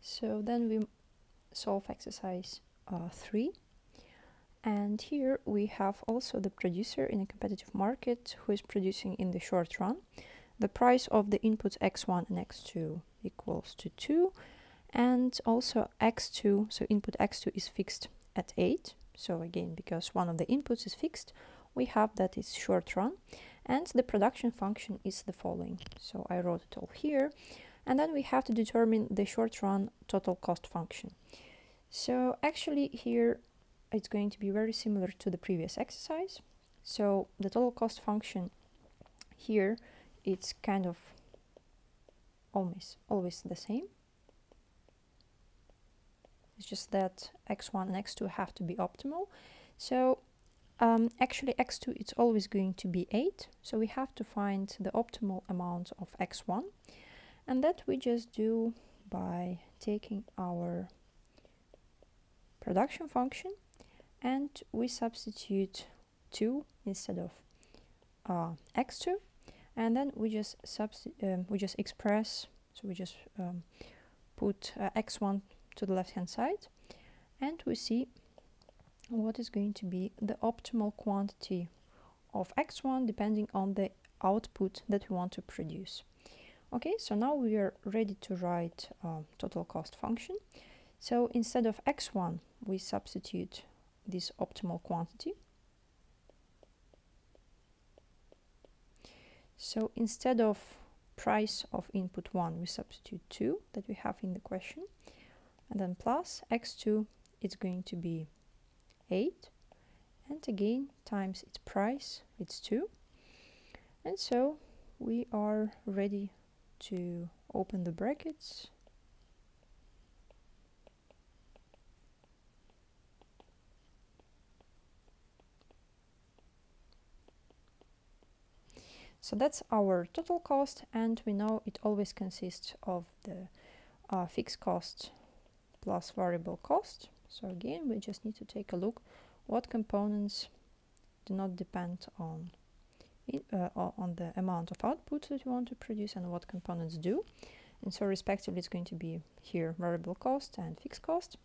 So then we solve exercise uh, 3. And here we have also the producer in a competitive market who is producing in the short run. The price of the inputs x1 and x2 equals to 2. And also x2, so input x2 is fixed at 8. So again, because one of the inputs is fixed, we have that it's short run and the production function is the following so I wrote it all here and then we have to determine the short run total cost function so actually here it's going to be very similar to the previous exercise so the total cost function here it's kind of always always the same it's just that x1 and x2 have to be optimal so um, actually, x2 it's always going to be 8, so we have to find the optimal amount of x1, and that we just do by taking our production function and we substitute 2 instead of uh, x2 and then we just um, we just express so we just um, put uh, x1 to the left hand side and we see what is going to be the optimal quantity of x1 depending on the output that we want to produce. Okay, so now we are ready to write um, total cost function. So instead of x1, we substitute this optimal quantity. So instead of price of input 1 we substitute 2 that we have in the question and then plus x2 it's going to be 8 and again times its price it's 2 and so we are ready to open the brackets so that's our total cost and we know it always consists of the uh, fixed cost plus variable cost. So again, we just need to take a look what components do not depend on uh, on the amount of output that you want to produce and what components do. And so respectively, it's going to be here variable cost and fixed cost.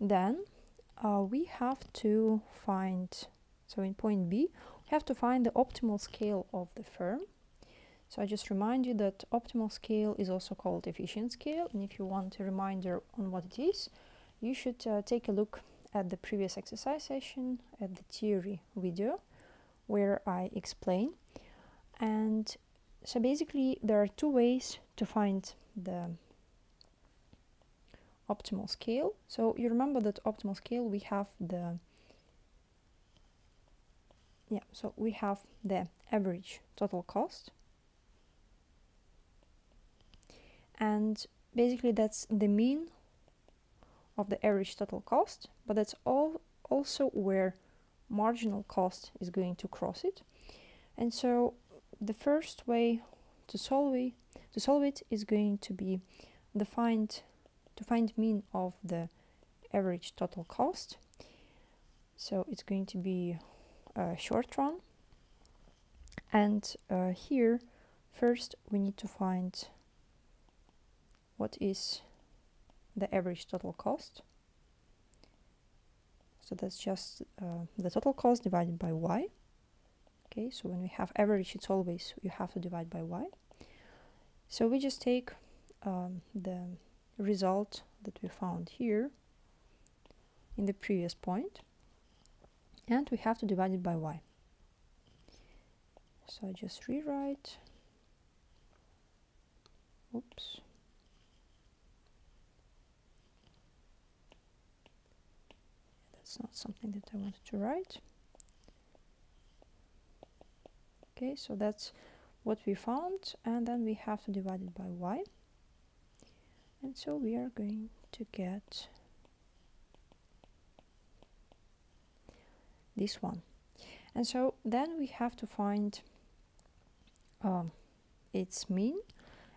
Then uh, we have to find, so in point B, we have to find the optimal scale of the firm. So I just remind you that optimal scale is also called efficient scale. And if you want a reminder on what it is, you should uh, take a look at the previous exercise session, at the theory video, where I explain. And so basically there are two ways to find the optimal scale. So you remember that optimal scale we have the yeah, so we have the average total cost. And basically that's the mean of the average total cost, but that's all also where marginal cost is going to cross it. And so the first way to solve it is going to be the find to find mean of the average total cost. So it's going to be a short run. And uh, here, first we need to find what is the average total cost. So that's just uh, the total cost divided by y okay so when we have average it's always you have to divide by y so we just take um, the result that we found here in the previous point and we have to divide it by y so I just rewrite oops that's not something that I wanted to write. Okay, so that's what we found and then we have to divide it by y. And so we are going to get this one. And so then we have to find um, its mean.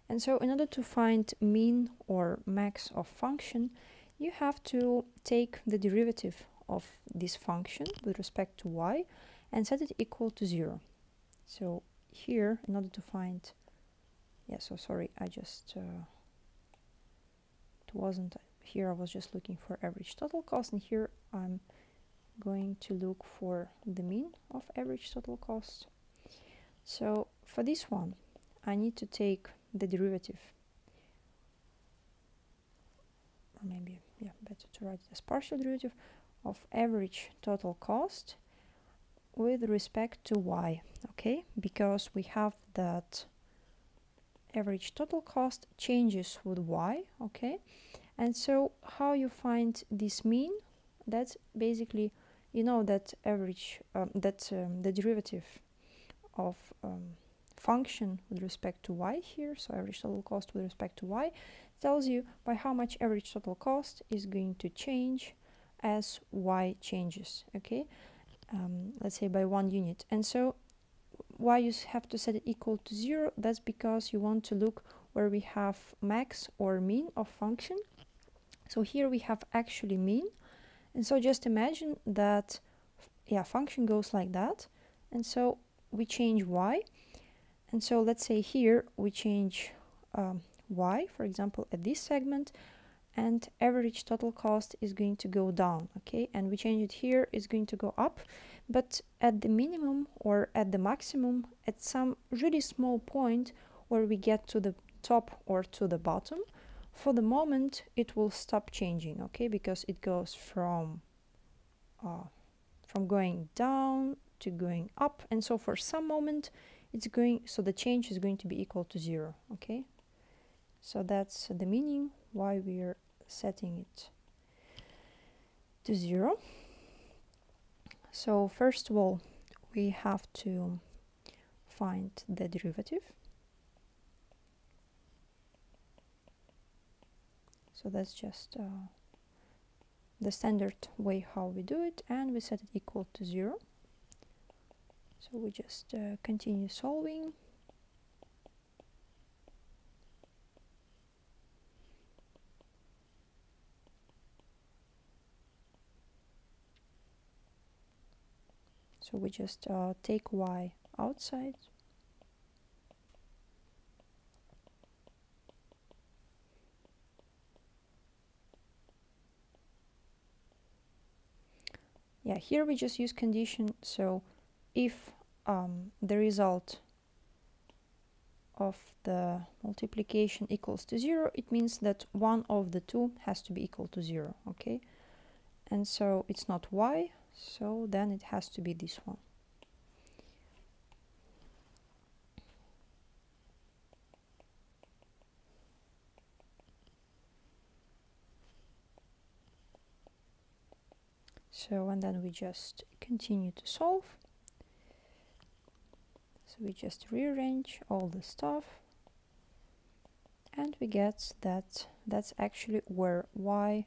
And so in order to find mean or max of function, you have to take the derivative of this function with respect to y and set it equal to zero. So here, in order to find, yeah, so sorry, I just, uh, it wasn't, here I was just looking for average total cost and here I'm going to look for the mean of average total cost. So for this one, I need to take the derivative. maybe, yeah, better to write it as partial derivative of average total cost with respect to y, okay? Because we have that average total cost changes with y, okay? And so how you find this mean that's basically, you know, that average, um, that um, the derivative of um, function with respect to y here, so average total cost with respect to y, tells you by how much average total cost is going to change as y changes, okay? let's say by one unit. And so why you have to set it equal to zero, that's because you want to look where we have max or mean of function so here we have actually mean. And so just imagine that, yeah, function goes like that. And so we change y. And so let's say here we change um, y, for example, at this segment, and average total cost is going to go down, okay? And we change it here, is going to go up, but at the minimum or at the maximum, at some really small point where we get to the top or to the bottom, for the moment it will stop changing, okay, because it goes from uh, from going down to going up and so for some moment it's going so the change is going to be equal to zero okay so that's the meaning why we are setting it to zero so first of all, we have to find the derivative. So that's just uh, the standard way how we do it and we set it equal to zero. So we just uh, continue solving. So we just uh, take y outside. Yeah, here we just use condition. So if um, the result of the multiplication equals to zero, it means that one of the two has to be equal to zero, okay? And so it's not y, so then it has to be this one. So, and then we just continue to solve. So we just rearrange all the stuff and we get that that's actually where y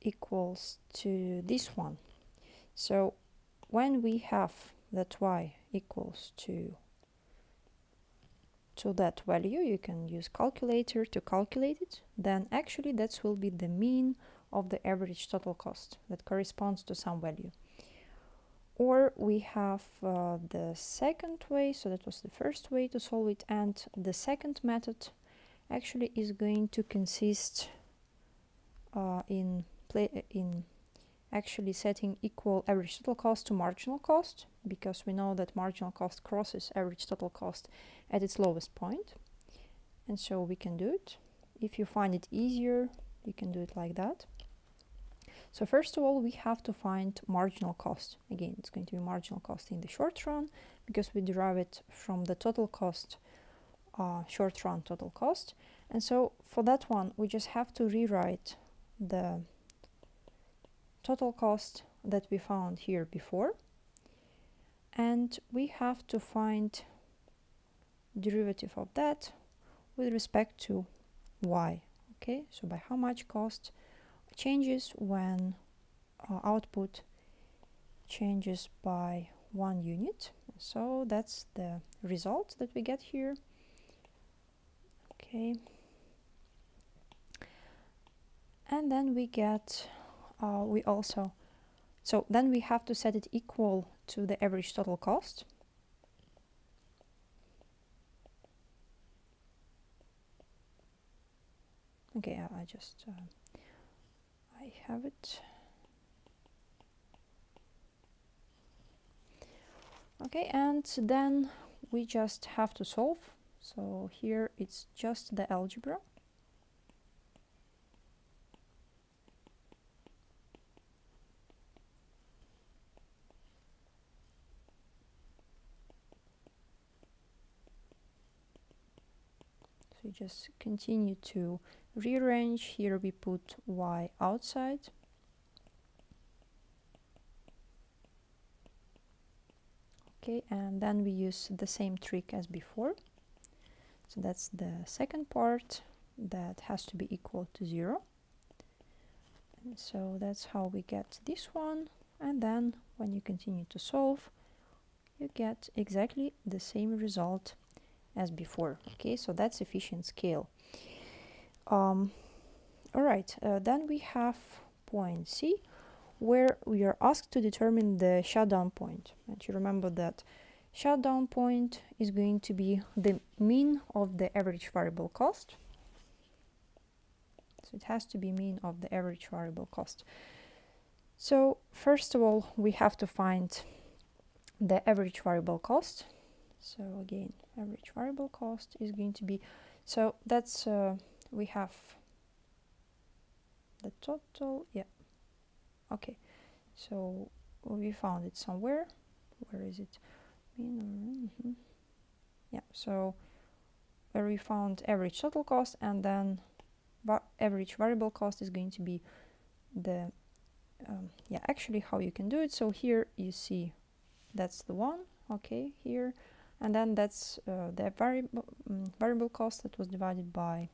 equals to this one. So when we have that y equals to to that value, you can use calculator to calculate it, then actually that will be the mean of the average total cost that corresponds to some value. Or we have uh, the second way, so that was the first way to solve it, and the second method actually is going to consist uh, in play in actually setting equal average total cost to marginal cost because we know that marginal cost crosses average total cost at its lowest point and so we can do it if you find it easier, you can do it like that. So first of all, we have to find marginal cost. Again, it's going to be marginal cost in the short run because we derive it from the total cost, uh, short run total cost. And so for that one, we just have to rewrite the total cost that we found here before. And we have to find derivative of that with respect to y okay so by how much cost changes when uh, output changes by one unit so that's the result that we get here okay and then we get uh, we also so then we have to set it equal to the average total cost. Okay, I just, uh, I have it. Okay, and then we just have to solve. So here it's just the algebra. So we just continue to rearrange. Here we put Y outside. Okay, and then we use the same trick as before. So that's the second part that has to be equal to zero. so that's how we get this one. And then when you continue to solve, you get exactly the same result as before. Okay, so that's efficient scale. Um, all right, uh, then we have point C where we are asked to determine the shutdown And you remember that Shutdown point is going to be the mean of the average variable cost. So it has to be mean of the average variable cost. So first of all, we have to find the average variable cost. So again, average variable cost is going to be, so that's, uh, we have the total, yeah, okay so we found it somewhere where is it mm-hmm. yeah so where we found average total cost and then average variable cost is going to be the um, yeah actually how you can do it so here you see that's the one okay here and then that's uh, the variable mm, variable cost that was divided by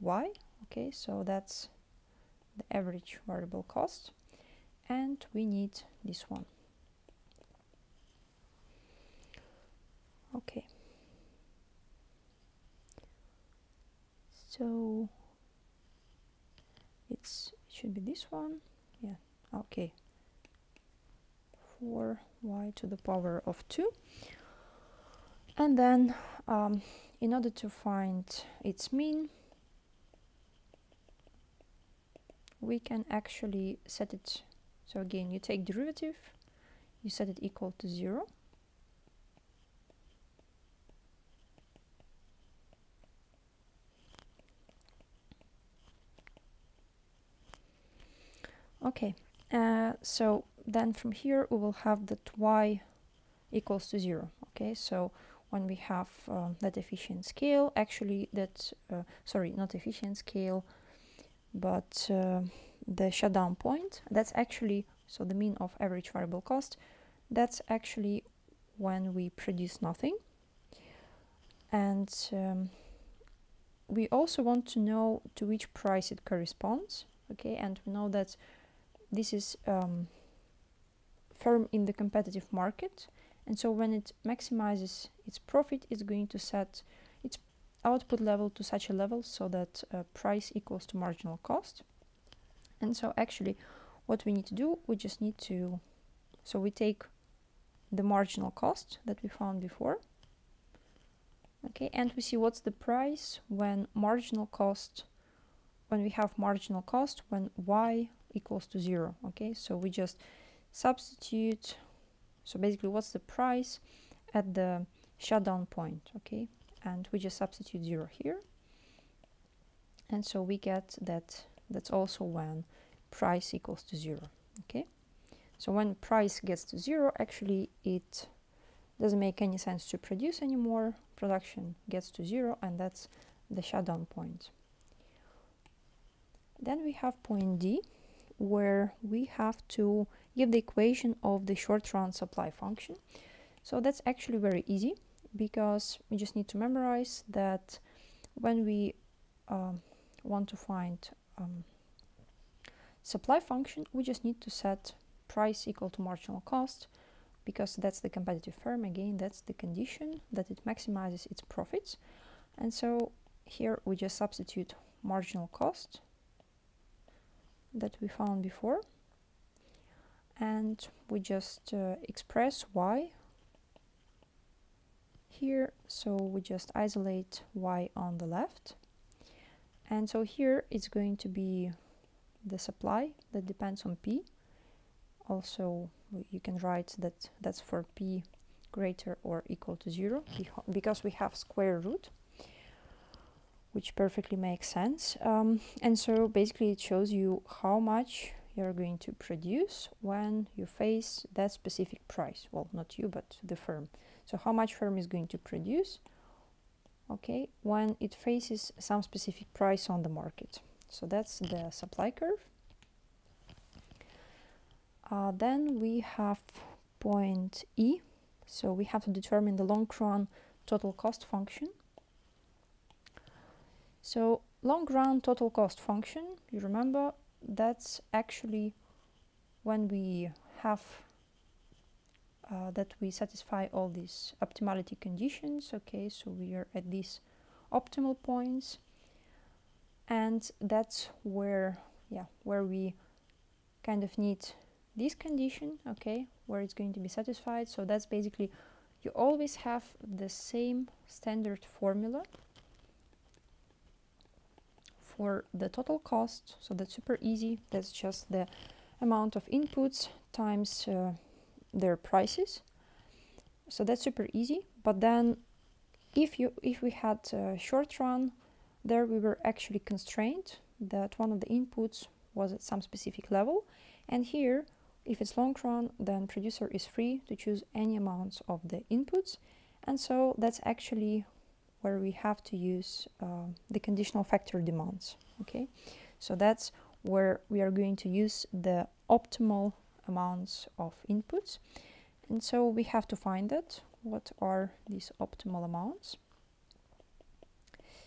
y okay so that's the average variable cost and we need this one okay so it's it should be this one yeah okay 4y to the power of 2 and then um, in order to find its mean we can actually set it so again you take derivative you set it equal to zero okay uh, so then from here we will have that y equals to zero okay so when we have um, that efficient scale actually that uh, sorry not efficient scale but uh, the shutdown point that's actually so the mean of average variable cost that's actually when we produce nothing and um, we also want to know to which price it corresponds okay and we know that this is um, firm in the competitive market and so when it maximizes its profit it's going to set its output level to such a level so that uh, price equals to marginal cost and so actually what we need to do we just need to so we take the marginal cost that we found before okay and we see what's the price when marginal cost when we have marginal cost when y equals to zero okay so we just substitute so basically what's the price at the shutdown point okay and we just substitute zero here and so we get that that's also when price equals to zero okay so when price gets to zero actually it doesn't make any sense to produce anymore production gets to zero and that's the shutdown point then we have point D where we have to give the equation of the short run supply function so that's actually very easy because we just need to memorize that when we um, want to find um, supply function we just need to set price equal to marginal cost because that's the competitive firm again that's the condition that it maximizes its profits and so here we just substitute marginal cost that we found before and we just uh, express y here so we just isolate y on the left and so here it's going to be the supply that depends on P. Also, you can write that that's for P greater or equal to zero because we have square root which perfectly makes sense. Um, and so basically it shows you how much you're going to produce when you face that specific price. Well, not you, but the firm. So how much firm is going to produce okay when it faces some specific price on the market so that's the supply curve uh, then we have point E so we have to determine the long run total cost function so long run total cost function you remember that's actually when we have uh, that we satisfy all these optimality conditions. Okay, so we are at these optimal points and that's where, yeah, where we kind of need this condition, okay, where it's going to be satisfied. So that's basically, you always have the same standard formula for the total cost. So that's super easy. That's just the amount of inputs times uh, their prices. So that's super easy. But then if you if we had a short run, there we were actually constrained that one of the inputs was at some specific level. And here, if it's long run, then producer is free to choose any amounts of the inputs. And so that's actually where we have to use uh, the conditional factor demands. Okay, so that's where we are going to use the optimal amounts of inputs. And so we have to find that. What are these optimal amounts?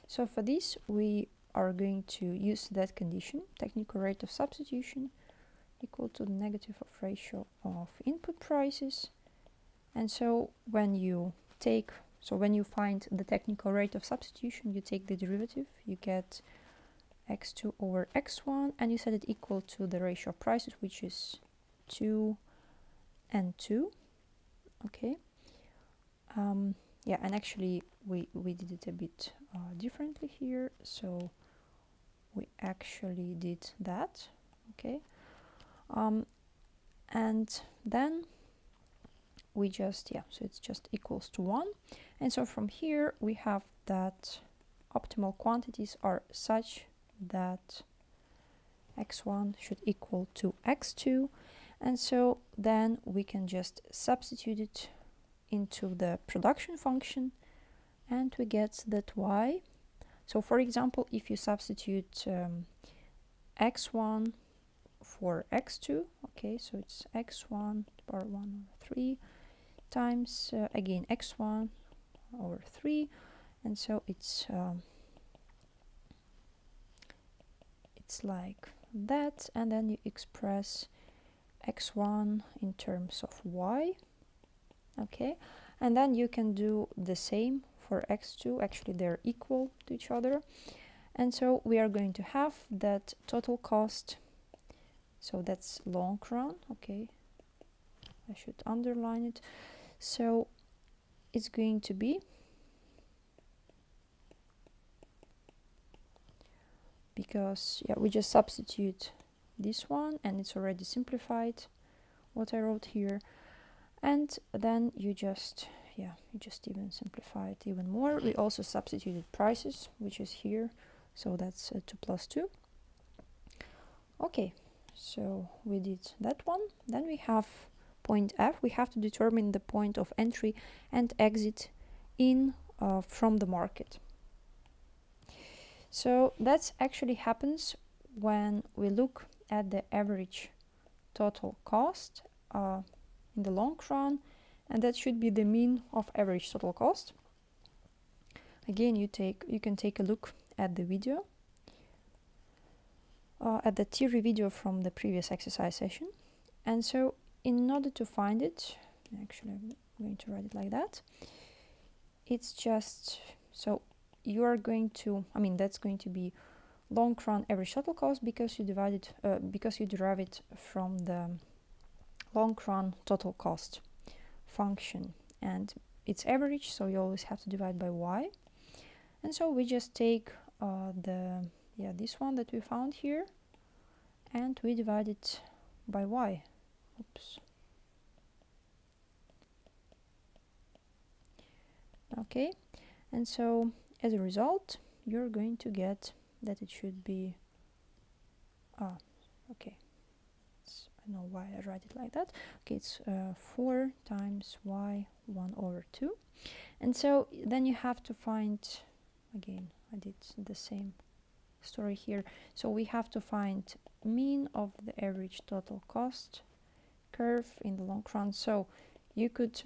So for this, we are going to use that condition, technical rate of substitution equal to the negative of ratio of input prices. And so when you take so when you find the technical rate of substitution, you take the derivative, you get x2 over x1, and you set it equal to the ratio of prices, which is 2 and 2. Okay. Um, yeah, and actually we, we did it a bit uh, differently here. So we actually did that. Okay. Um, and then we just, yeah, so it's just equals to 1. And so from here we have that optimal quantities are such that x1 should equal to x2 and so then we can just substitute it into the production function and we get that y so for example if you substitute um, x1 for x2 okay so it's x1 power 1 over 3 times uh, again x1 over 3 and so it's um, it's like that and then you express x1 in terms of y okay and then you can do the same for x2 actually they're equal to each other and so we are going to have that total cost so that's long run okay I should underline it so it's going to be because yeah we just substitute this one and it's already simplified what I wrote here and then you just yeah you just even simplify it even more we mm-hmm. also substituted prices which is here so that's uh, 2 plus 2 okay so we did that one then we have point f we have to determine the point of entry and exit in uh, from the market so that actually happens when we look at the average total cost uh, in the long run and that should be the mean of average total cost again you take you can take a look at the video uh, at the theory video from the previous exercise session and so in order to find it actually I'm going to write it like that it's just so you are going to I mean that's going to be long run every shuttle cost because you divide it uh, because you derive it from the long run total cost function and it's average so you always have to divide by y and so we just take uh, the yeah this one that we found here and we divide it by y oops okay and so as a result you're going to get that it should be oh okay it's, I know why I write it like that okay it's uh, 4 times y 1 over 2 and so then you have to find again I did the same story here so we have to find mean of the average total cost curve in the long run so you could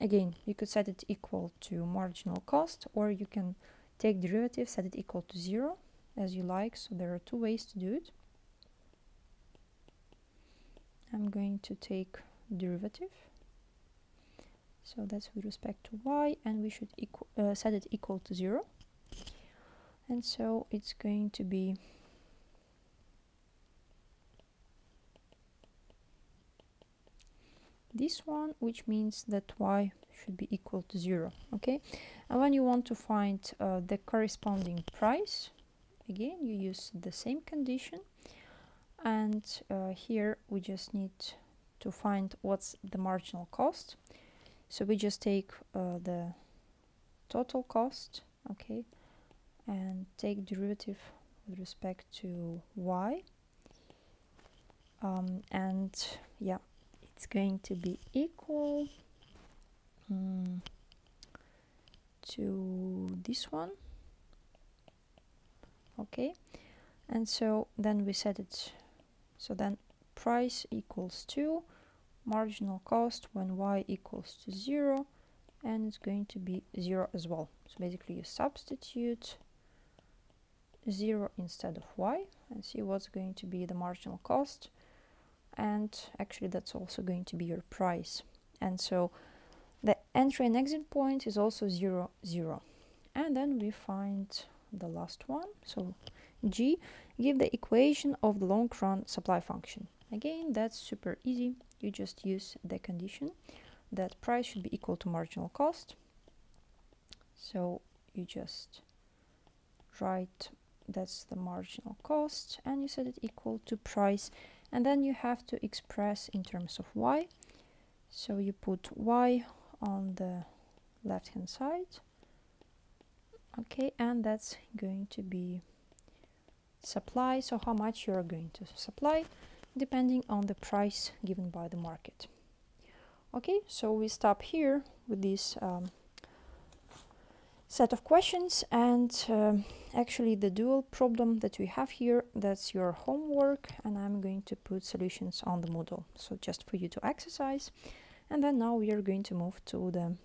again you could set it equal to marginal cost or you can take derivative set it equal to zero as you like so there are two ways to do it I'm going to take derivative so that's with respect to y and we should uh, set it equal to zero and so it's going to be this one which means that y should be equal to zero okay and when you want to find uh, the corresponding price again you use the same condition and uh, here we just need to find what's the marginal cost so we just take uh, the total cost okay and take derivative with respect to y um, and yeah it's going to be equal hmm, to this one okay and so then we set it so then price equals to marginal cost when y equals to 0 and it's going to be 0 as well. So basically you substitute 0 instead of y and see what's going to be the marginal cost and actually that's also going to be your price. And so the entry and exit point is also 0, 0. And then we find the last one. So g, give the equation of the long run supply function. Again, that's super easy. You just use the condition that price should be equal to marginal cost. So you just write that's the marginal cost and you set it equal to price and then you have to express in terms of y. So you put y on the left hand side. Okay, and that's going to be supply so how much you are going to supply depending on the price given by the market okay so we stop here with this um, set of questions and um, actually the dual problem that we have here that's your homework and I'm going to put solutions on the Moodle so just for you to exercise and then now we are going to move to the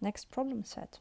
next problem set